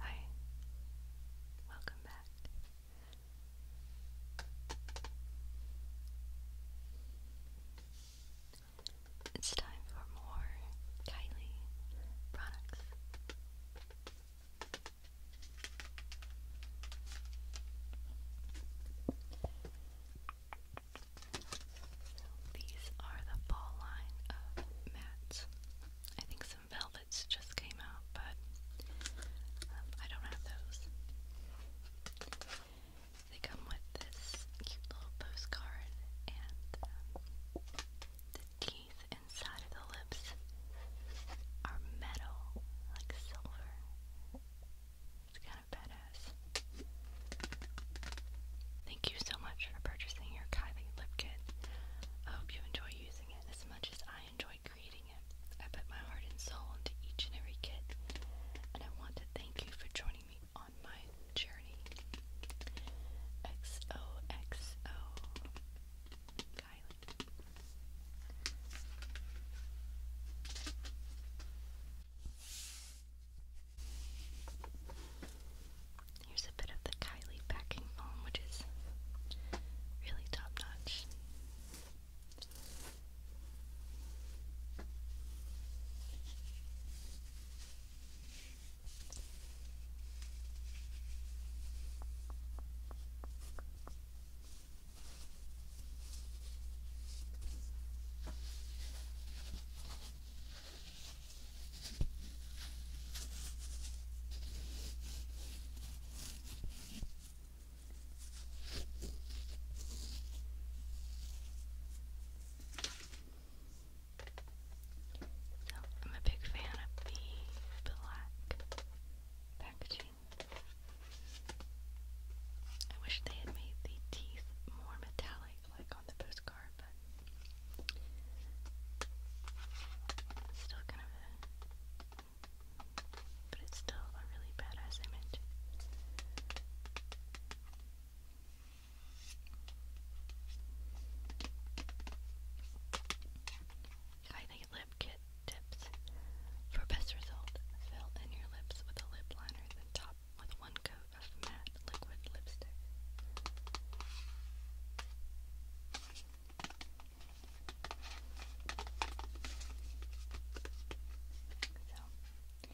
Hi, welcome back. It's time for more Kylie products. These are the fall line of mats. I think some velvets just came out, but um, I don't have those. They come with this cute little postcard and um, the Thank you so much for purchasing your Kylie lip kit. I hope you enjoy using it as much as I enjoyed creating it. I put my heart and soul into each and every kit, and I want to thank you for joining me on my journey. XOXO. Island. Here's a bit of the Kylie packing foam, which is really top notch. So oh, I'm a big fan of the black packaging. I wish they had made the teeth more metallic, like on the postcard, it's still kind of But it's still a really badass image. I lip kit tips. For best result, fill in your lips with a lip liner, then top with one coat of matte liquid lipstick.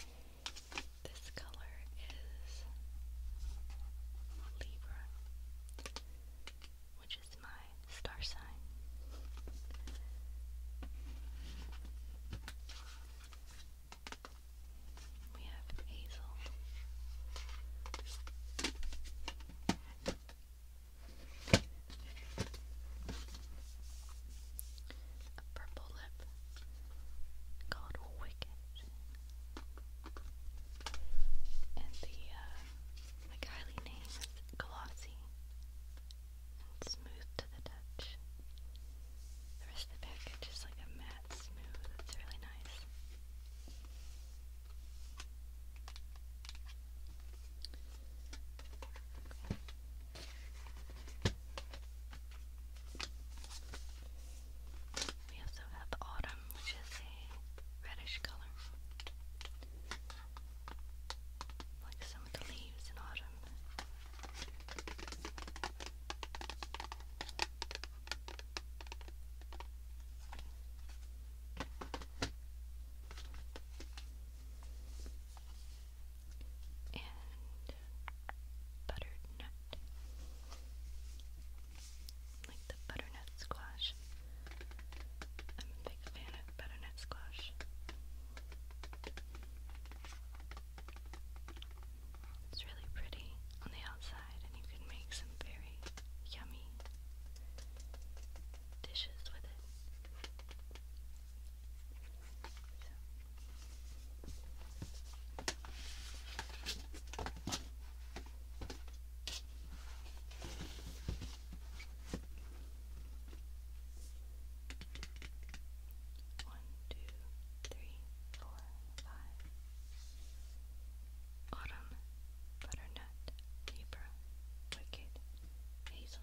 So, this color is Libra which is my star sign. We have Hazel. A purple lip called Wicked. And the uh, my Kylie name is glossy and smooth to the touch. The rest of the package is like a matte smooth. It's really nice. Okay. We also have Autumn, which is a reddish color, like some of the leaves in autumn. And buttered nut like the butternut squash. I'm a big fan of butternut squash. It's really pretty on the outside, and you can make some very yummy dishes with it. One, two, three, four, five. Autumn, butternut, Libra, wicked, hazel.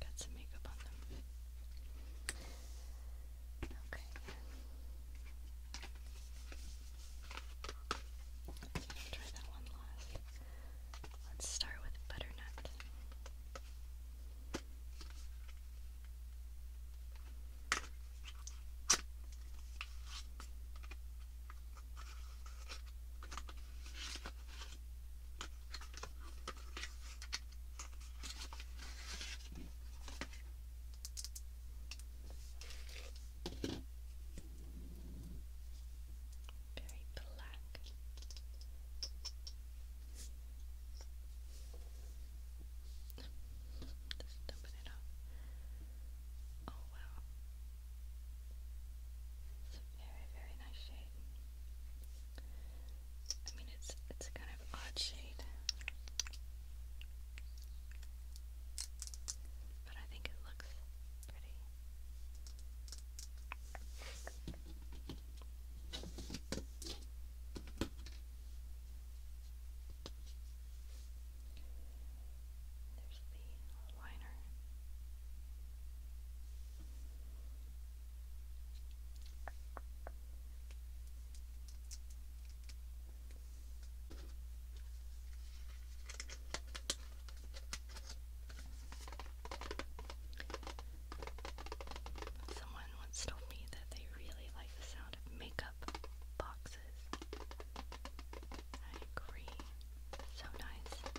Got some makeup on them. Okay. Let's try that one last. Let's start with butternut. Very black. Just dumping it off. Oh wow. It's a very, very nice shade. I mean, it's it's a kind of odd shade, but I think it looks pretty. There's the liner. Someone once told me that they really like the sound of makeup boxes. I agree. So nice.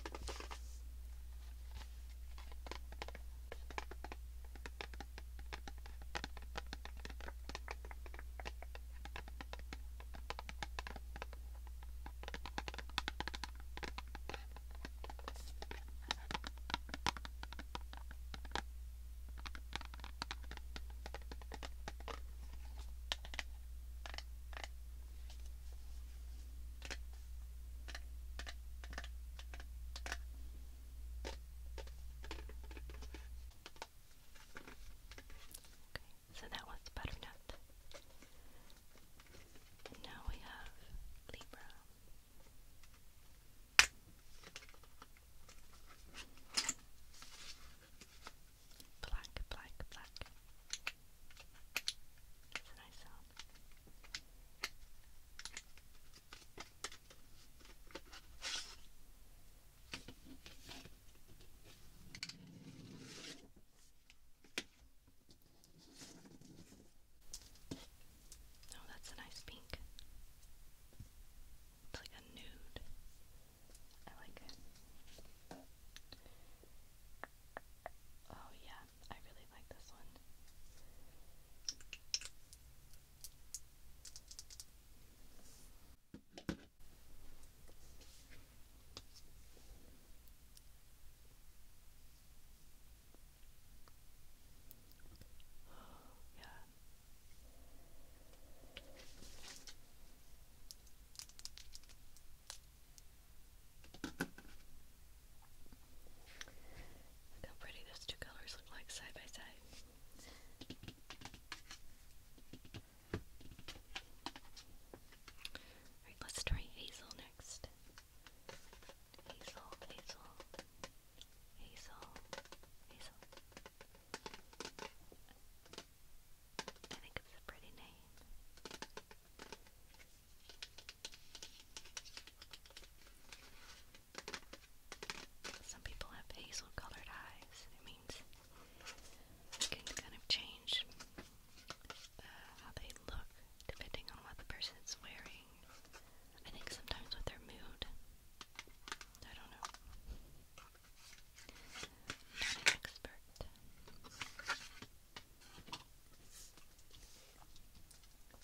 Okay, so that was butternut. now we have Libra black, black, black. It's a nice sound. No, oh, that's a nice pink. It's like a nude. I like it. Oh, yeah, I really like this one. Oh, yeah how pretty those two colors look like side by side. Alright, let's try hazel next. Hazel, hazel, hazel, hazel. I think it's a pretty name. Some people have hazel colored eyes. It means you can kind of change uh, how they look depending on what the person is wearing. I think sometimes with their mood. I don't know. Not an expert.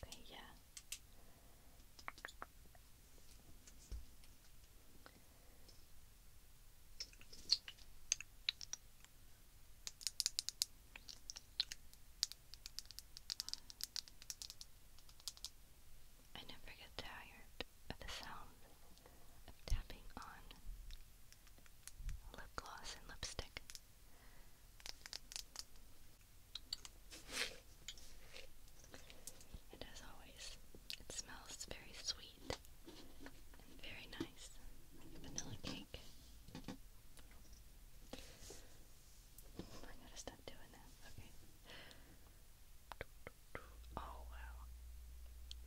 Okay, yeah. I never get tired of the sound of tapping on lip gloss and lipstick. And as always, it smells very sweet and very nice, like vanilla cake. I gotta stop doing that. Okay. Oh wow.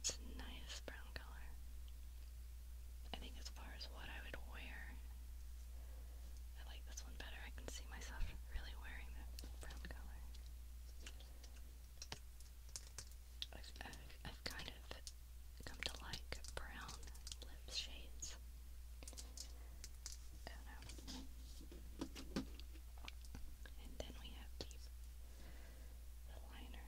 It's a nice brown color. I think as far as what I would wear, I like this one better. I can see myself really wearing that brown color. I've, I've, I've kind of come to like brown lip shades. I don't know. And then we have the, the liner.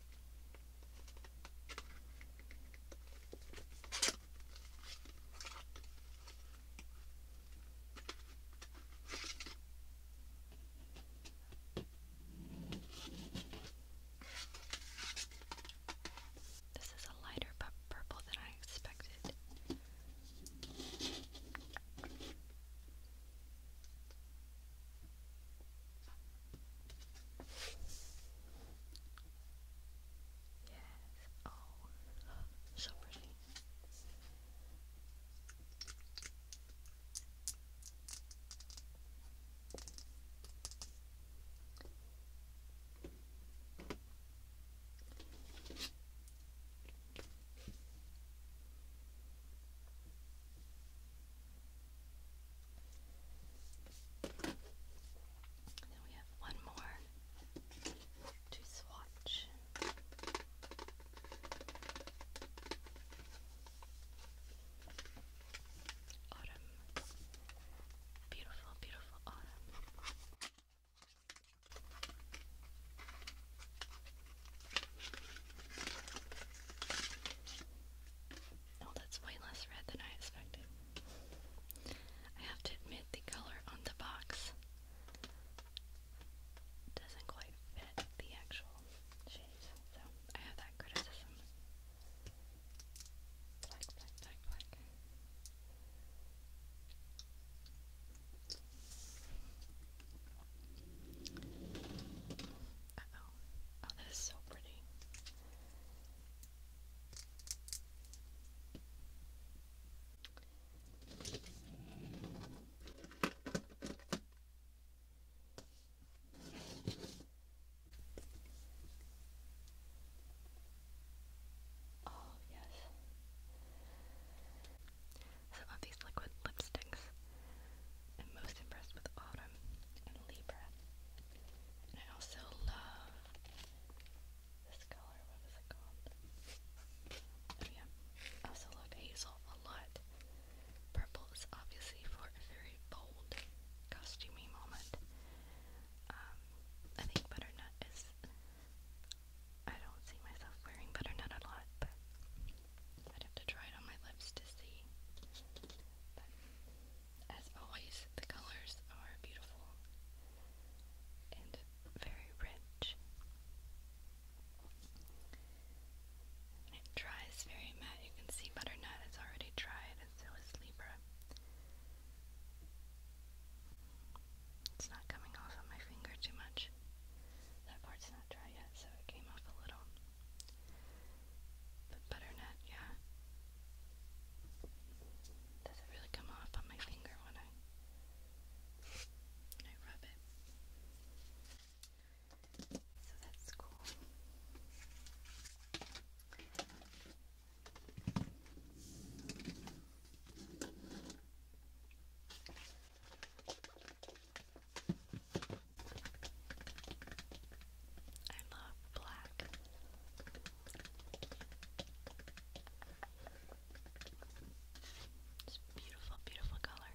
This is a lighter purple than I expected. Yes. Oh, so pretty. And then we have one more to swatch. Autumn. Beautiful, beautiful autumn. Oh, that's way less red than I expected. I have to admit, the color on the box doesn't quite fit the actual shades, so I have that criticism. Black, black, black, black. Uh oh. Oh, that is so pretty. Oh, yes. Some of these liquid lipsticks I'm most impressed with Autumn and Libra. And I also love this color. What it called? Oh yeah. I also love Hazel a lot. Purple is obviously for a very bold costumey moment. Um, I think butternut is. I don't see myself wearing butternut a lot, but I'd have to try it on my lips to see. But as always, the colors are beautiful and very rich. it dries very matte. You can see butternut has already dried, and so is Libra. It's not coming off on my finger too much. That part's not dry yet, so it came off a little. The butternut, yeah. Doesn't really come off on my finger when I rub it. So that's cool. I love black. It's beautiful, beautiful color.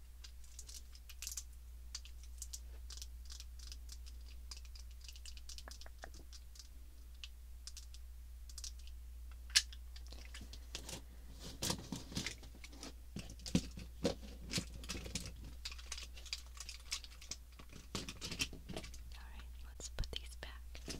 Alright, let's put these back.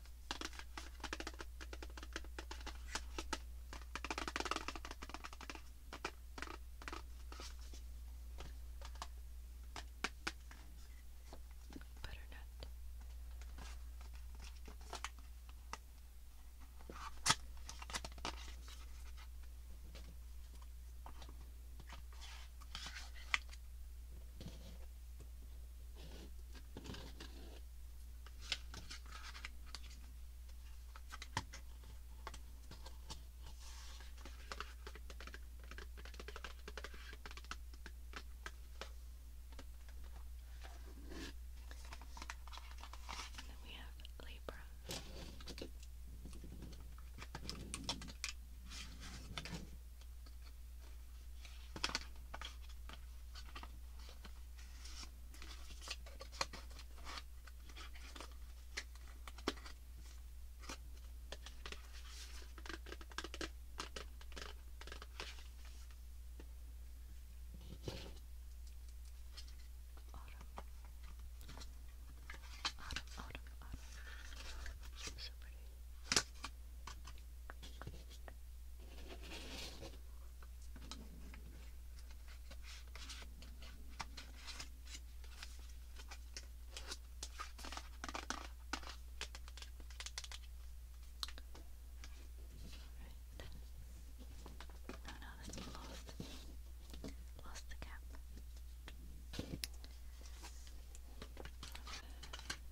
Butternut. And then we have Libra. Autumn, autumn, autumn. She's so pretty. Right. No, no, that's lost. Lost the cap.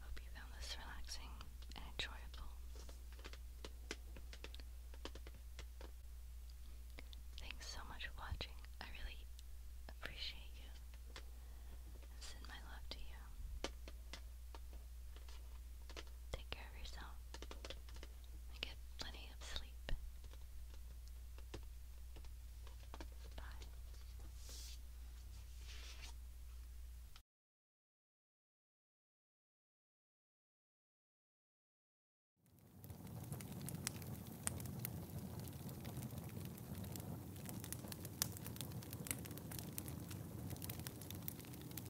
Hope you found this relaxing and enjoyable. Thanks so much for watching. I really appreciate you send my love to you. Take care of yourself get plenty of sleep. Bye.